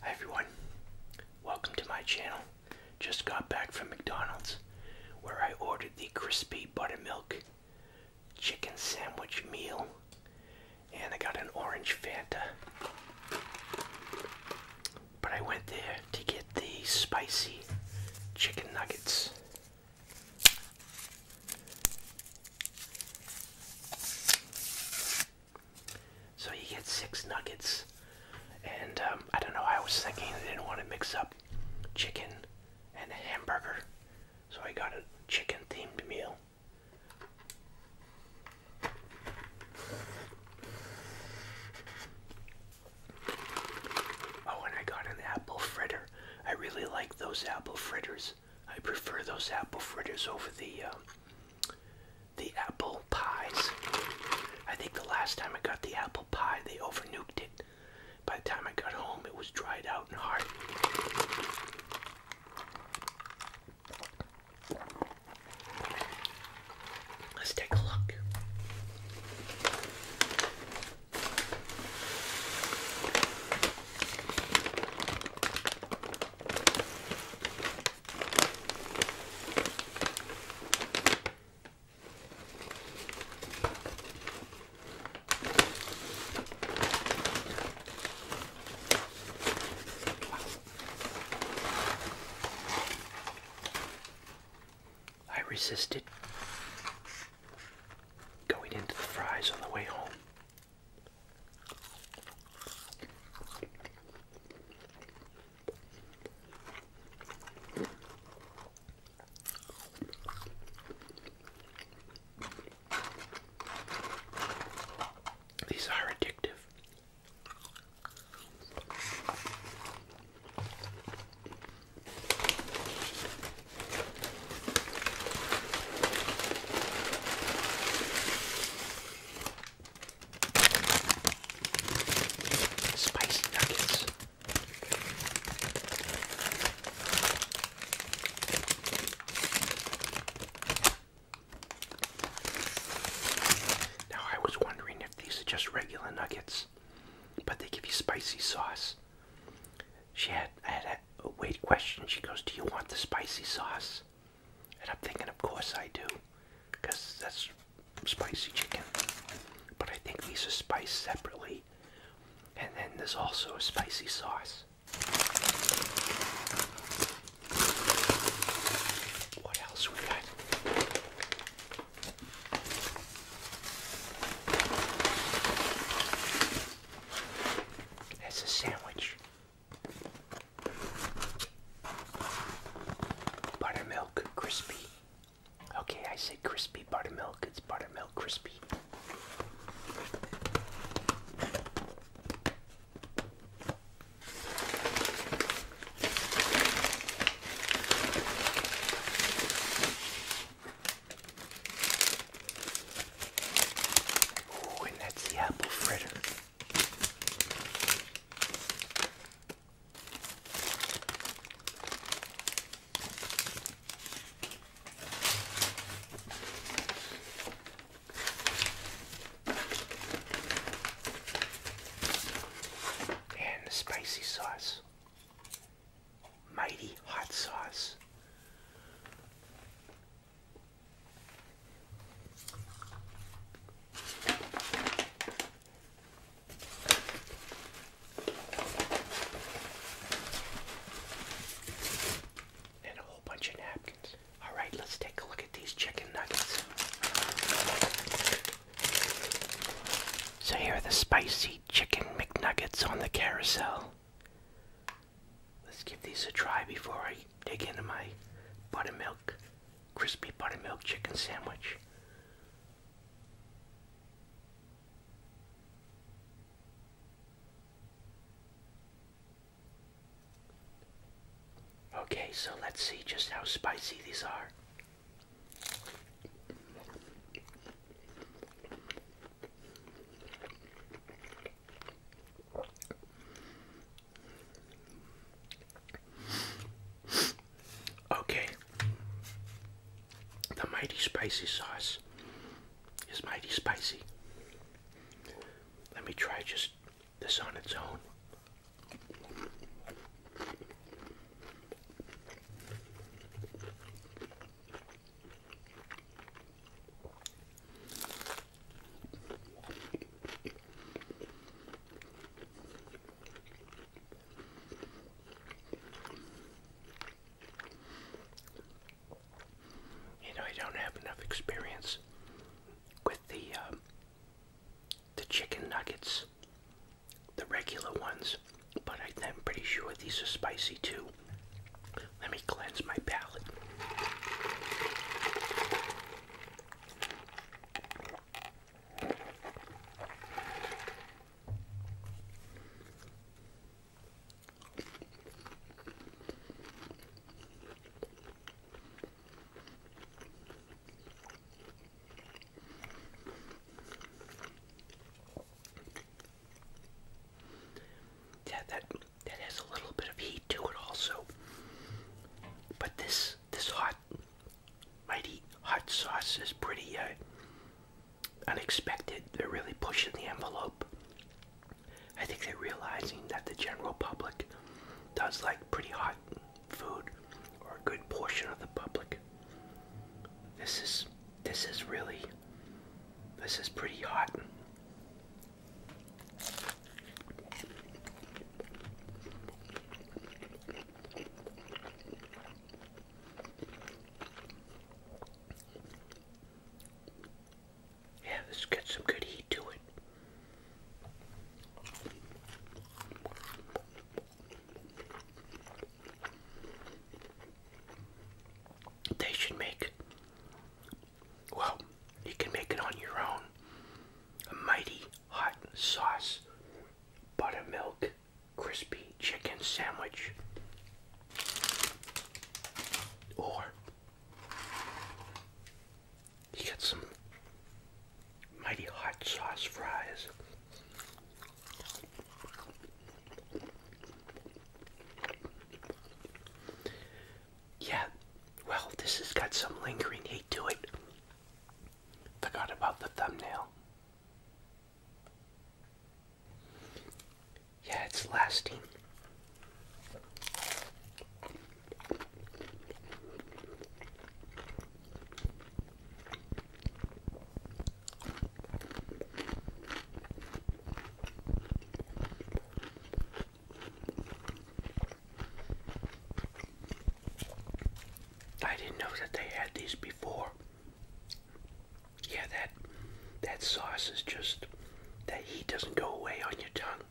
Hi everyone, welcome to my channel. Just got back from McDonald's where I ordered the crispy buttermilk chicken sandwich meal and I got an orange Fanta. But I went there to get the spicy chicken nuggets. So you get six nuggets, and um, I don't know. I was thinking I didn't want to mix up chicken and a hamburger, so I got a chicken-themed meal. Oh, and I got an apple fritter. I really like those apple fritters. I prefer those apple fritters over the um, the apple pies. I think the last time I got the apple pie, they overnuked it. By the time I got home, it was dried out and hard. Let's take a look. I resisted going into the fries on the way home. These are addictive. Spicy nuggets. Now I was wondering if these are just regular nuggets, but they give you spicy sauce. She had, I had a, a wait question. She goes, "Do you want the spicy sauce?" And I'm thinking, of course I do, because that's spicy chicken. But I think these are spiced separately. And then there's also a spicy sauce. What else we got? That's a sandwich. Buttermilk crispy. Okay, I say crispy buttermilk, it's buttermilk crispy. Oh, and that's the apple fritter. And the spicy sauce. Mighty hot sauce. And a whole bunch of napkins. All right, let's take a look at these chicken nuggets. So here are the spicy chicken McNuggets on the carousel. Let's give these a try before I dig into my buttermilk, crispy buttermilk chicken sandwich. Okay, so let's see just how spicy these are. Okay, the mighty spicy sauce is mighty spicy. Let me try just this on its own. You know, I don't have enough experience with the um, the chicken nuggets, the regular ones, but I'm pretty sure these are spicy too. Let me cleanse my palate. Yeah, that that has a little bit of heat to it also. But this this hot mighty hot sauce is pretty uh, unexpected. They're really pushing the envelope. I think they're realizing that the general public does like pretty hot food or a good portion of the public. This is this is really this is pretty hot. Yeah, this got some good heat to it. They should make well, you can make it on your own. A mighty hot sauce buttermilk crispy chicken sandwich. Or you get some mighty hot sauce fries. Yeah, well, this has got some lingering heat to it. Forgot about the thumbnail. Yeah, it's lasting. I didn't know that they had these before. Yeah, that that sauce is just that heat doesn't go away on your tongue.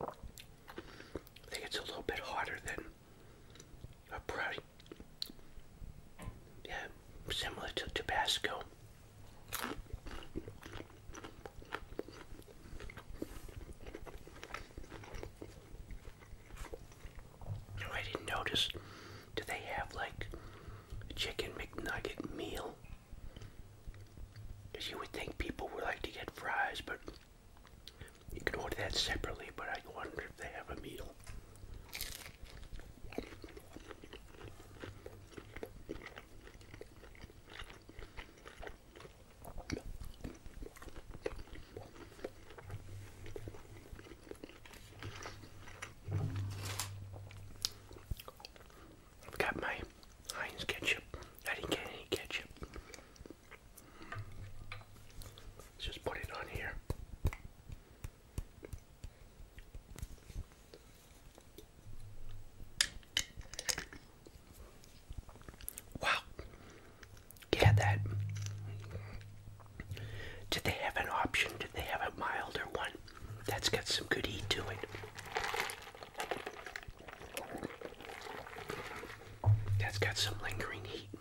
I think it's a little bit hotter than or probably, yeah, similar to Tabasco. I didn't notice. Do they have like chicken McNugget meal? Because you would think people would like to get fries, but you can order that separately, but I wonder if they have a meal. I've got my Heinz ketchup. I didn't get any ketchup. Let's just put it on here. Wow. Yeah, that. Did they have an option? Did they have a milder one? That's got some good heat to it. That's got some lingering heat.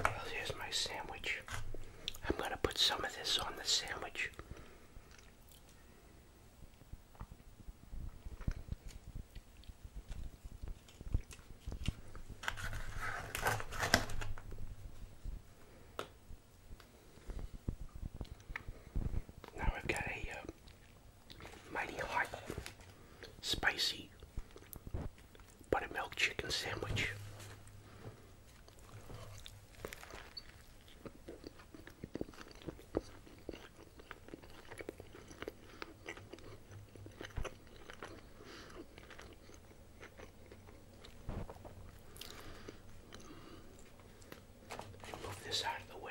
Well, here's my sandwich. I'm going to put some of this on the sandwich. Now I've got a uh, mighty hot, spicy buttermilk chicken sandwich. Move this out of the way.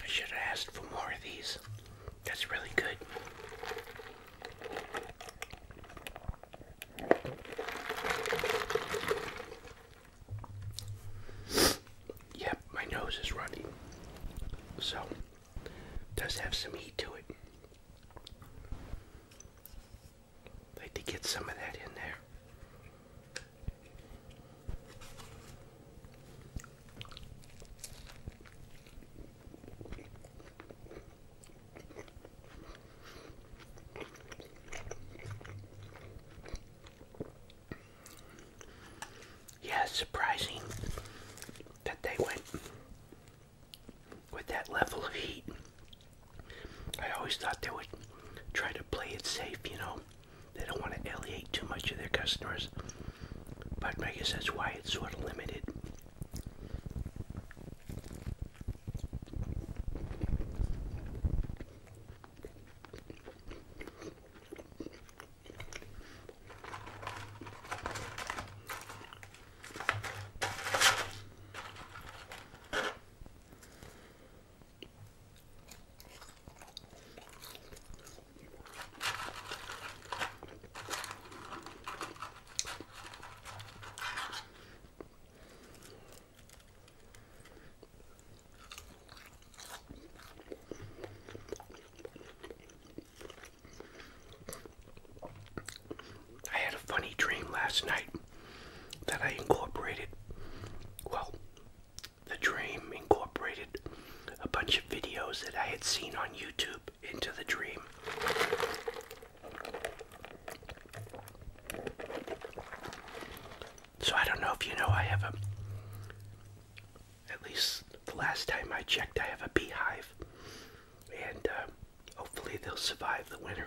I should have asked for more of these. That's really good. Yep, my nose is running. So, does have some heat to it like to get some of that in there. Yeah, surprising that they went with that level of heat I always thought they would try to play it safe, you know. They don't want to alienate too much of their customers. But I guess that's why it's sort of limited. I had a funny dream last night that I incorporated, well, the dream incorporated a bunch of videos that I had seen on YouTube into the dream. So I don't know if you know, I have a, at least the last time I checked, I have a beehive. And uh, hopefully they'll survive the winter.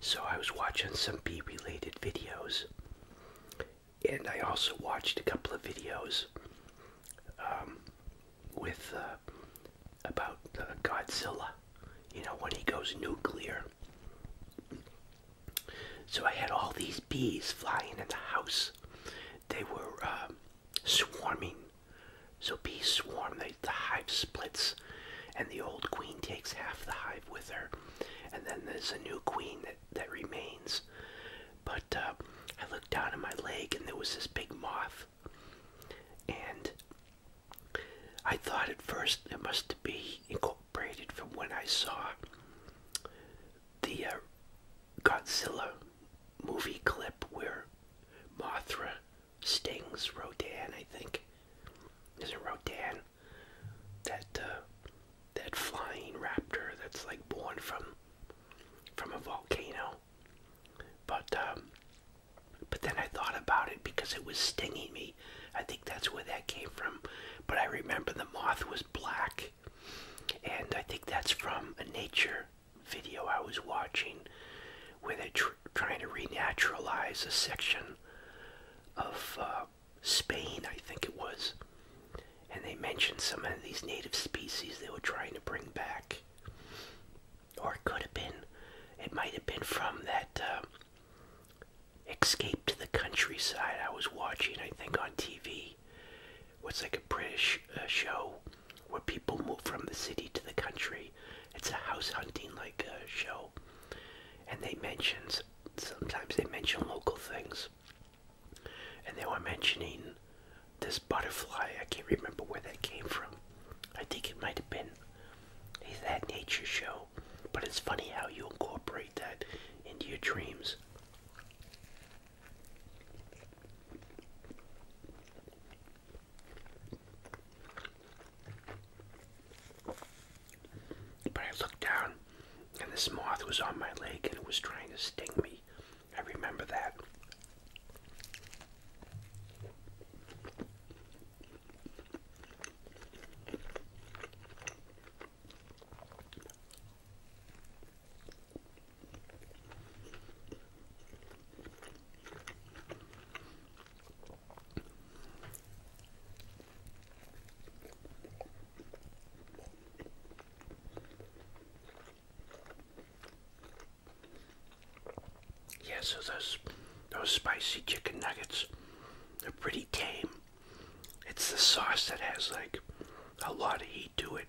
So I was watching some bee related videos, and I also watched a couple of videos um, with uh, about uh, Godzilla, you know, when he goes nuclear. So I had all these bees flying in the house. They were um, swarming. So bees swarm, the hive splits and the old queen takes half the hive with her, and then there's a new queen that that remains. But uh, I looked down at my leg, and there was this big moth, and I thought at first it must be incorporated from when I saw the uh, Godzilla movie clip where Mothra Stings Rodan, I think. Is it Rodan? That uh, that flying raptor that's like born from from a volcano. But um, but then I thought about it because it was stinging me. I think that's where that came from. But I remember the moth was black, and I think that's from a nature video I was watching where they're trying to renaturalize a section of uh, Spain, I think it was. And they mentioned some of these native species they were trying to bring back. Or it could have been, it might have been from that uh, escape to the countryside I was watching, I think, on TV. It was like a British uh, show where people move from the city to the country it's a house hunting like uh, show, and they mention sometimes they mention local things, and they were mentioning this butterfly. I can't remember where that came from. I think it might have been that nature show, but it's funny how you incorporate that into your dreams. But I looked down, and this moth was on my leg and it was trying to sting me. I remember that. Yeah, so those those spicy chicken nuggets, they're pretty tame. It's the sauce that has like a lot of heat to it.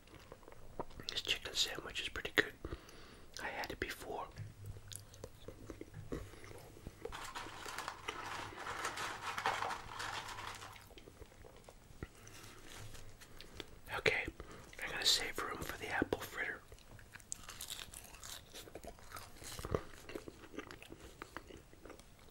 This chicken sandwich is pretty good. I had it before. Okay, I'm to save room for the apple fritter.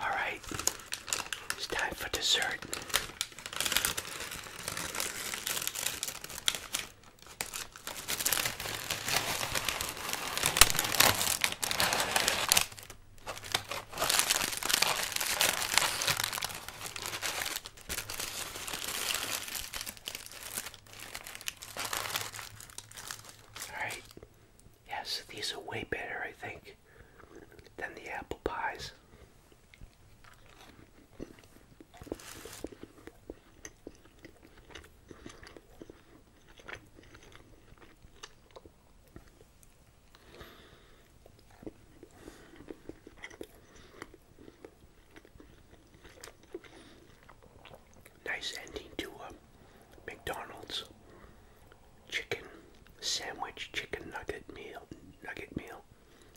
All right, it's time for dessert. Alright. Yes, these are way better, I think, than the apple pies. Nice ending to a um, McDonald's chicken sandwich, chicken nugget meal, nugget meal,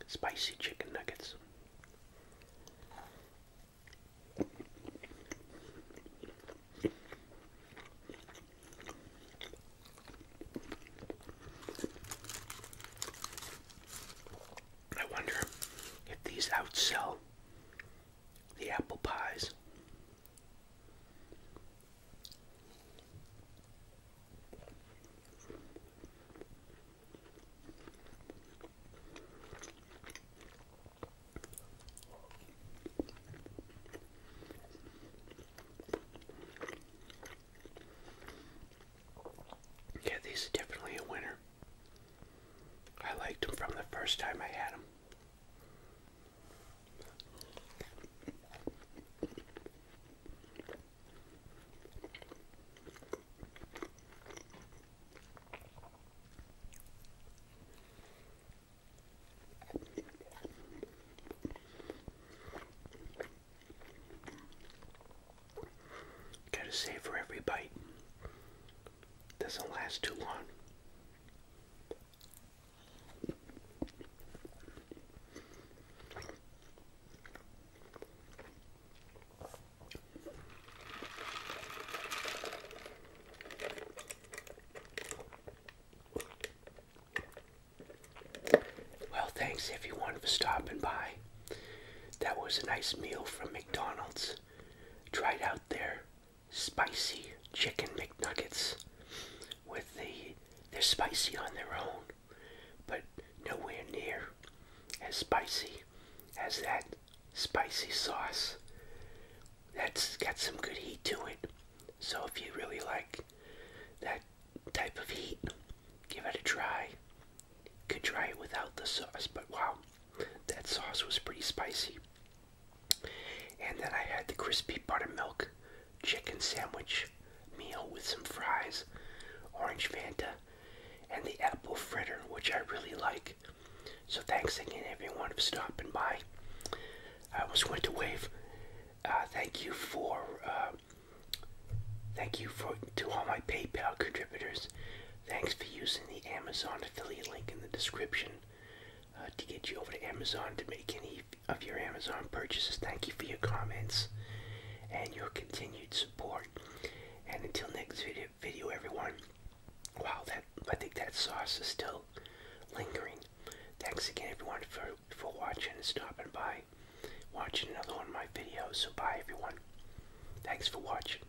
spicy chicken nuggets. I wonder if these outsell the apple pies. Yeah, these are definitely a winner. I liked him from the first time I had him. Gotta save every bite doesn't last too long. Well, thanks if you wanted to stop and buy. That was a nice meal from McDonald's. Tried out there spicy chicken McNuggets with the they're spicy on their own, but nowhere near as spicy as that spicy sauce. That's got some good heat to it. So if you really like that type of heat, give it a try. Could try it without the sauce, but wow, that sauce was pretty spicy. And then I had the crispy buttermilk chicken sandwich meal with some fries, orange Fanta, and the apple fritter, which I really like. So thanks again, everyone, for stopping by. I almost went to wave. Uh, thank you for uh, thank you for to all my PayPal contributors. Thanks for using the Amazon affiliate link in the description. Uh, to get you over to Amazon to make any of your Amazon purchases. Thank you for your comments and your continued support. And until next video, video everyone. Wow, that I think that sauce is still lingering. Thanks again, everyone, for for watching and stopping by, watching another one of my videos. So bye, everyone. Thanks for watching.